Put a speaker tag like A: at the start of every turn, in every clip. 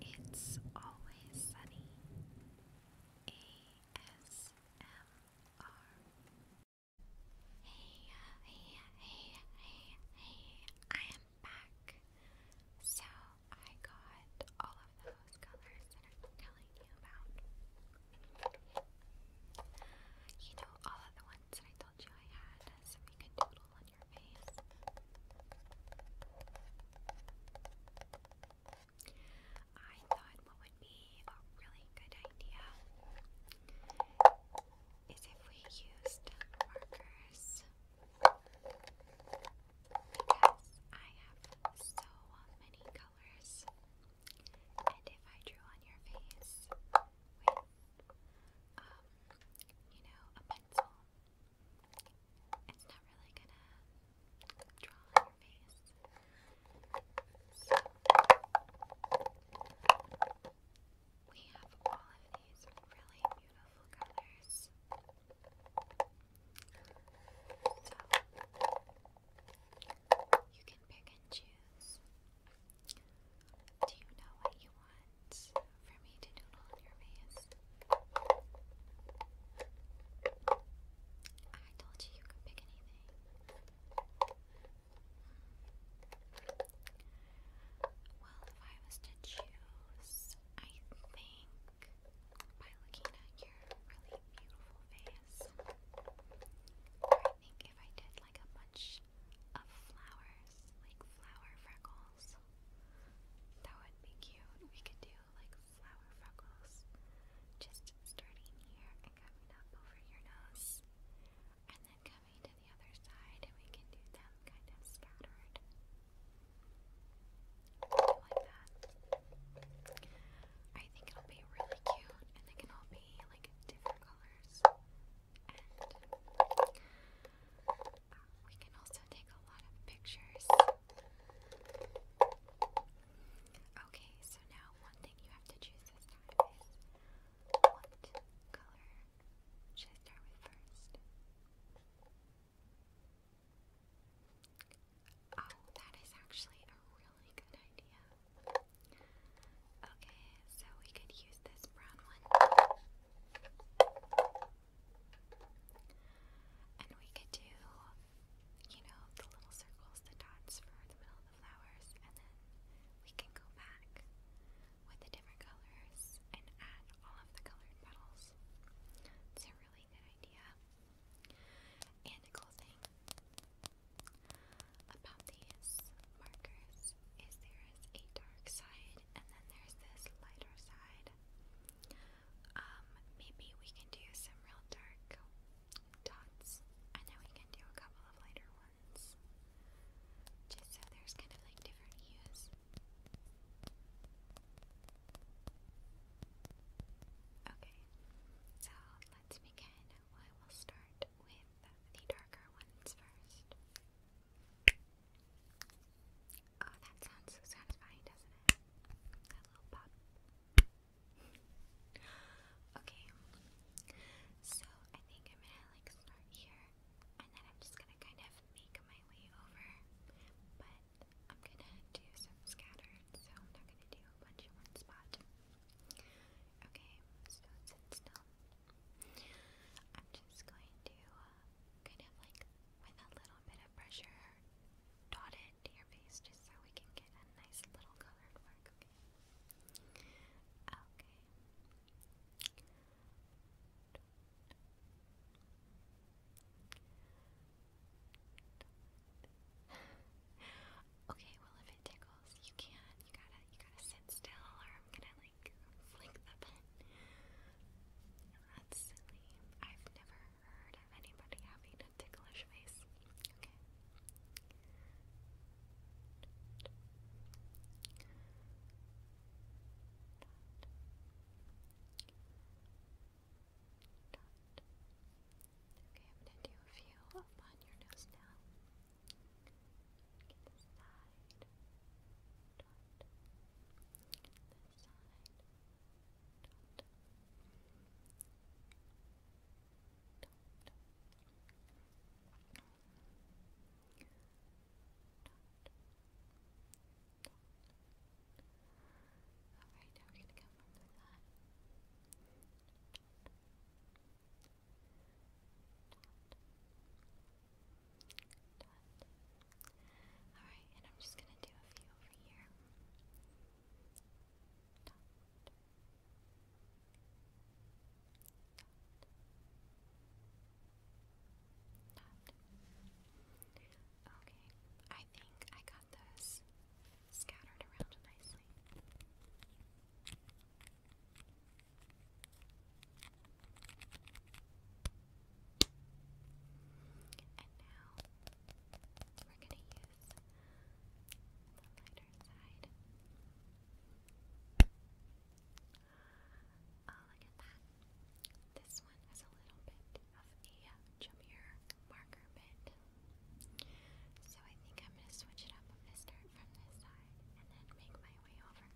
A: It's Always Sunny ASMR. Hey, uh, hey, uh, hey, uh, hey, hey, I am back. So I got all of those colors that I was telling you about. You know, all of the ones that I told you I had, so you can on your your I thought what would be a really good idea is if we used markers because I have so many colors. And if I drew on your face um, you know, a pencil, it's not really gonna draw on your face. we have all of these really beautiful colors. So, you
B: can pick and choose. Do you know what you want? for me to doodle on your face. I told you you could pick anything. Well, if I was to
A: choose, I think by looking at your really beautiful face, I think if I did like a bunch of flowers, like flower freckles, that would be cute. We could do like flower freckles. Just starting here and coming up over your nose. And then coming to the other side, and we can do them kind of scattered. Like that. I think it'll be really cute, and they can all be like different colors. We can also take a lot of pictures. Okay, so now one thing you have to choose is what color should start with first? Oh, that is actually a really good idea. Okay, so we could use this brown one. And we could do, you know, the little circles, the dots for the middle of the flowers, and then we can go back with the different colors and add all of the colored petals. It's a really good idea. And a cool thing about these markers is there is a dark side and then there's this lighter side. Um, maybe we can do some real dark dots, and then we can do a couple of lighter ones. Just so there's kind of like different hues. Okay, so let's begin. I will start with the darker ones first. Oh, that sounds so satisfying, doesn't it? That little pop. okay. So I think I'm gonna like start here and then I'm just gonna kind of make my way over. But I'm gonna do some scattered, so I'm not gonna do a bunch in one spot. Okay, so sit still. I'm just going to uh, kind of like with a little bit of pressure, dot it to your face just so we can get a nice little colored mark. Okay. Okay. well if it tickles, you can You gotta you gotta sit still or I'm gonna like flick the pen. That's silly. I've never heard of anybody having a ticklish face. Okay. Okay, I'm gonna do a few upon your nose now. This side. Dot. This side. Dot. Dot. Alright, now we're gonna come from the side. Dot. Dot. Alright, and I'm just gonna do a few over here. Okay, I think I got those scattered around nicely we're going to use the lighter side. Oh, look at that. This one has a little bit of a chummier marker bit. So I think I'm going to switch it up. I'm start from this side and then make my way over.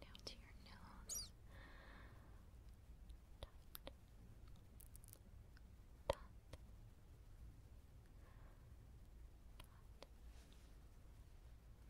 A: Now to your nose. Dot. Dot. Dot. Dot.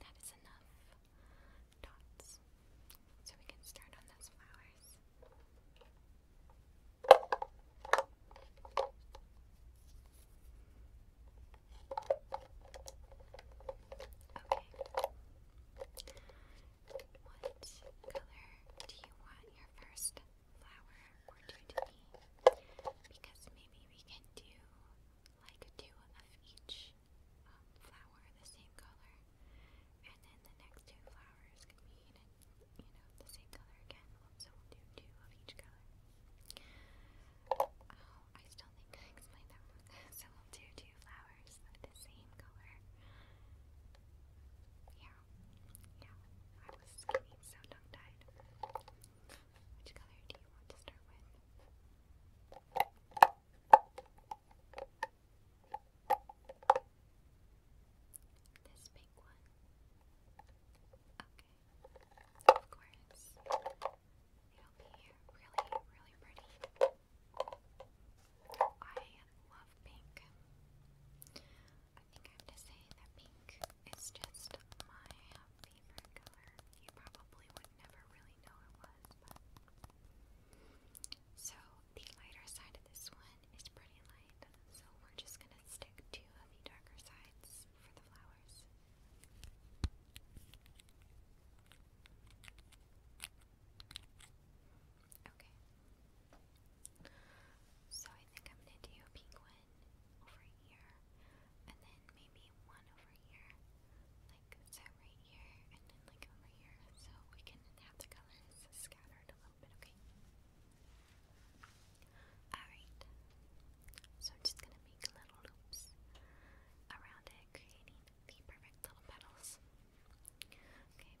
A: That is enough dots. So we can start on those flowers. Okay. What color do you want your first flower or two to be? Because maybe we can do like two of each um, flower the same color, and then the next two flowers can be you know the same color again. So we'll do two of each color. Oh, I still think I explained that So we'll do two flowers of the same color. Yeah, yeah. I was getting so tongue which color do you want to start with? This pink one. Okay. Of course. It'll be really, really pretty. I love pink. I think I have to say that pink is just my so, the lighter side of this one is pretty light, so we're just gonna stick to the darker sides for the flowers. Okay. So I think I'm gonna do a pink one over here, and then maybe one over here, like so right here, and then like over here, so we can have the colors scattered a little bit, okay? Alright, so I'm just gonna make little loops
B: around it, creating the perfect little petals. Okay.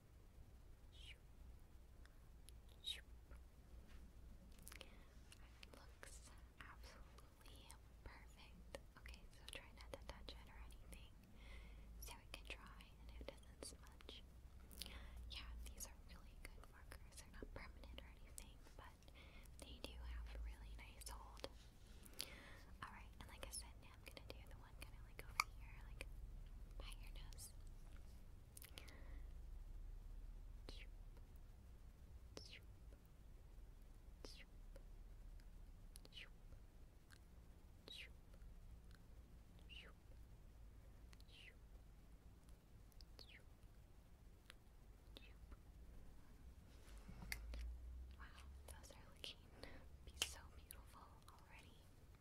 B: It looks absolutely perfect.
A: Okay, so try not to touch it or anything so it can dry and it doesn't smudge. Yeah, these are really good markers. They're not permanent or anything, but they do have really nice hold. Alright, and like I said, now I'm gonna do the one kind of
B: like over here, like by your nose. Wow, those are looking be so beautiful already.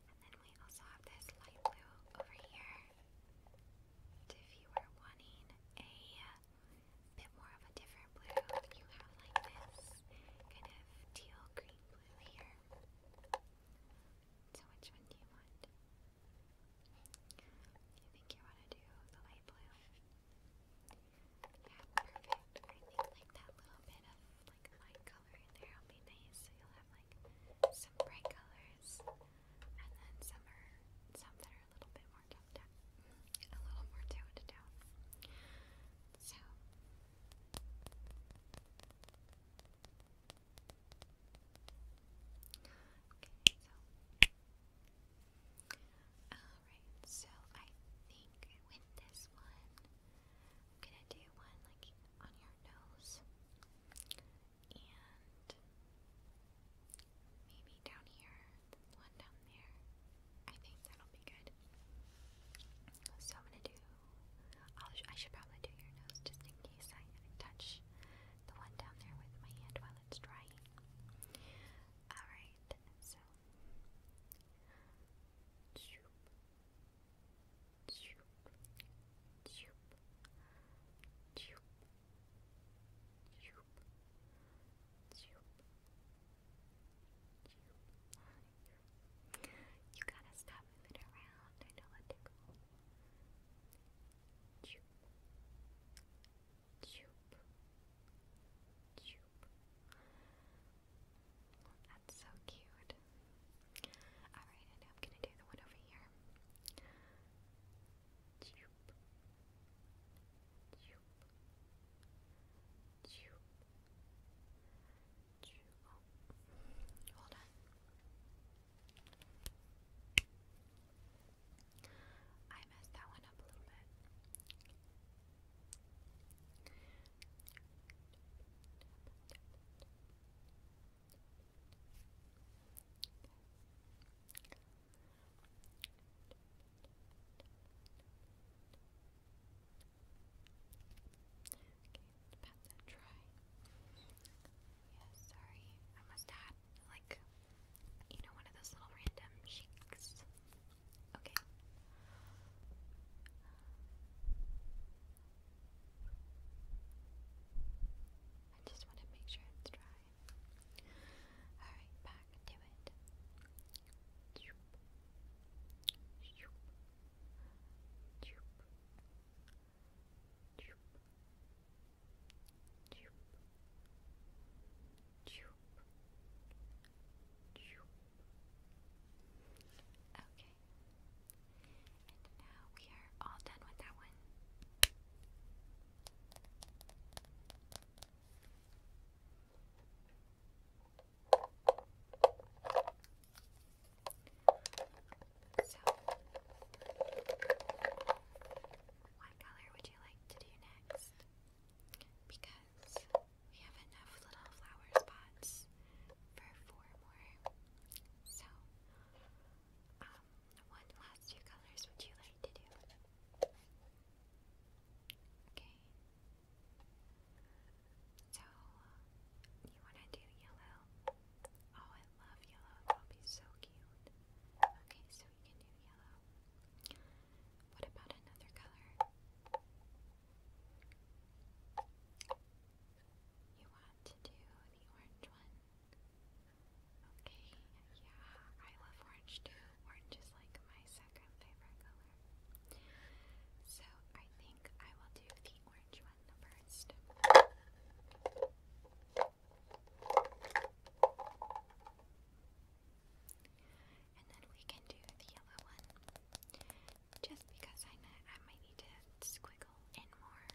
A: And then we also have this light blue over here. If you were wanting a bit more of a different blue, you have like this kind of teal green blue here. So which one do you want? You think you want to do the light blue? Yeah, perfect. I think like that little bit of like light color in there will be nice. So you'll have like some bright colors, and then some are a little bit more down, mm-hmm. a little more toned down. So. Okay, so. Alright, so I think with this one, I'm gonna do one like on your nose and maybe down here, one down there. I think that'll be good. So I'm gonna do. i should probably do your nose just in case I touch the one down there with my hand while it's drying.
B: Alright, so. You gotta stop moving around. I know what to
A: that's so cute. Alright, I'm gonna do the one over here. Hold on. I messed that one up a little bit pat that dry. sorry. I must have like, you know, one of those little random shakes. Okay. I just want to make sure it's dry. Alright, back to it.
B: Okay. And now we are all done with that one. So, what color would you like to do next? Because we have enough little flower spots for four
A: more. So, um, what last two colors would you like to do? Okay. So, uh, you want to do yellow? Oh, I love yellow. That'll be so cute. Okay, so we can do yellow. What about another color? You want to do the orange one? Okay, yeah, I love orange too. Orange is like my second favorite color. So I think I will do the orange one first. And then we can do the yellow one just because I might, I might need to squiggle in more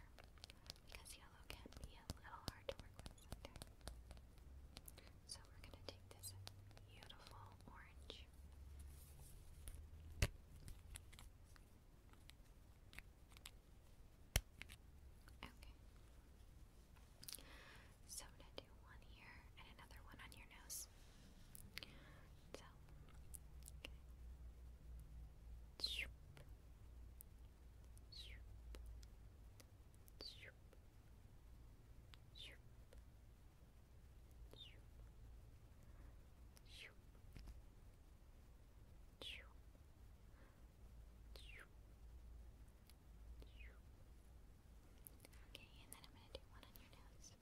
A: because yellow can be a little hard to work with So we're gonna take this beautiful orange. Okay.
B: So gonna do one here and another one on your nose this. So, Okay, and then I'm going to do one on your nose.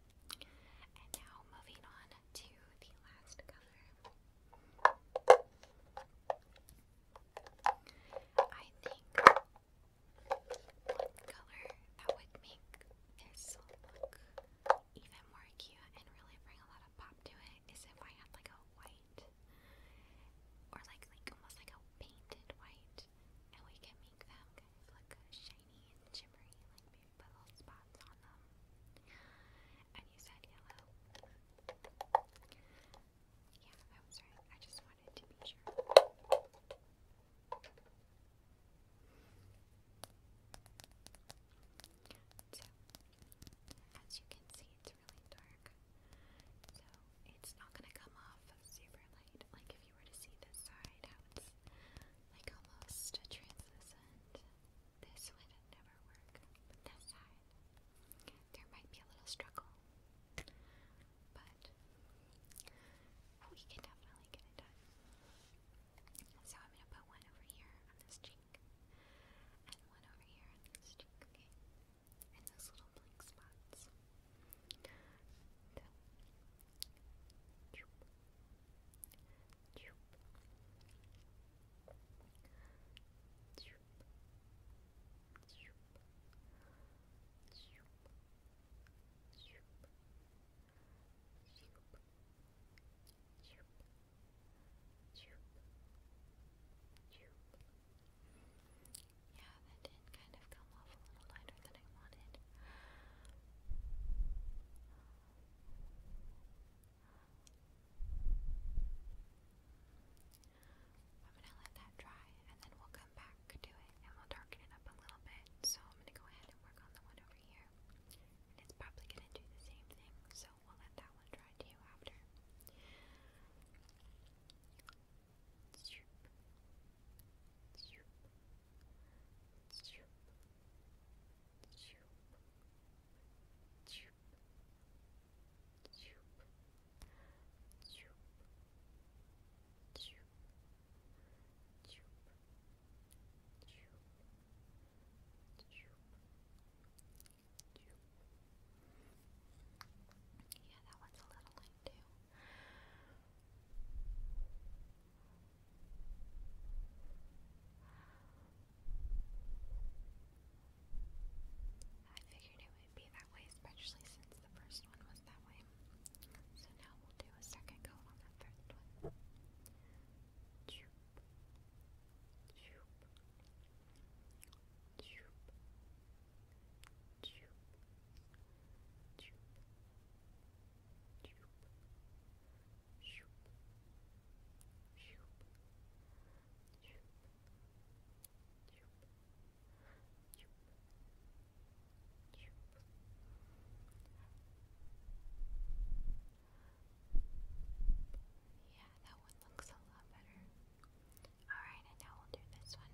B: And now moving on to the last color. I think
A: one color that would make this look even more cute and really bring a lot of pop to it is if I had like a white or like like almost like a painted white and we can make them kind of look shiny shiny and shimmery, like big little spots on them. And you said
B: yellow. Yeah, I was right. I just wanted to be sure.
A: So, as you can see, it's really dark. So, it's not going to come off super light. Like, if were to see this side, it's like almost translucent, this would never work. But this side, there might be a little struggle, but we can definitely get it done. So I'm gonna put one over here on this cheek, and one over here on this cheek, okay? And those little blank spots. Yeah,
B: that kind of go come off I am gonna let
A: that dry and then we'll come back to it and we'll darken it up a little bit. So I'm gonna go ahead and work on the one over here. And it's probably gonna do the same
B: thing, so we'll let that one dry too after. Choop. Choop. Choop. Choop. Choop. Choop. Choop. Choop. Choop. Choop. Yeah, that one's a little late too. I figured it would be that way, especially since the first one was that way. So now we'll do a second coat on the third one. Yeah, that one looks a lot better. Alright, and now we'll do this one.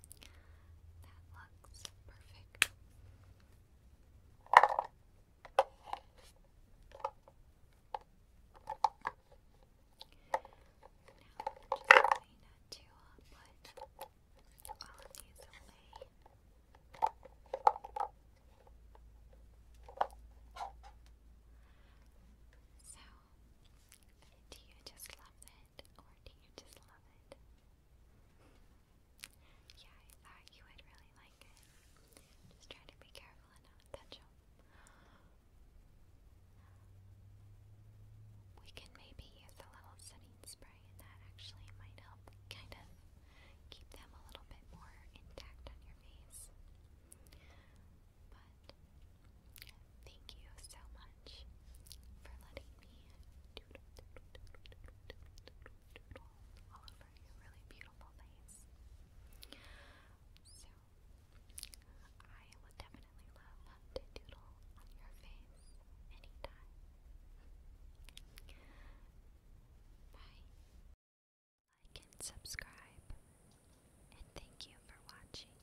B: That looks perfect. Now I'm just going to put all of these away.
A: So, do you just love or do you just love it? Yeah, I thought you would really like it. Just try to be careful and not touch them. We can maybe use a little setting spray, and that actually might help kind of keep them a little bit more intact on your face. But
B: Thank you so much for letting me doodle, all over your really beautiful face. So, I would definitely love to doodle on your face anytime. Bye. Like and subscribe, and thank you for watching.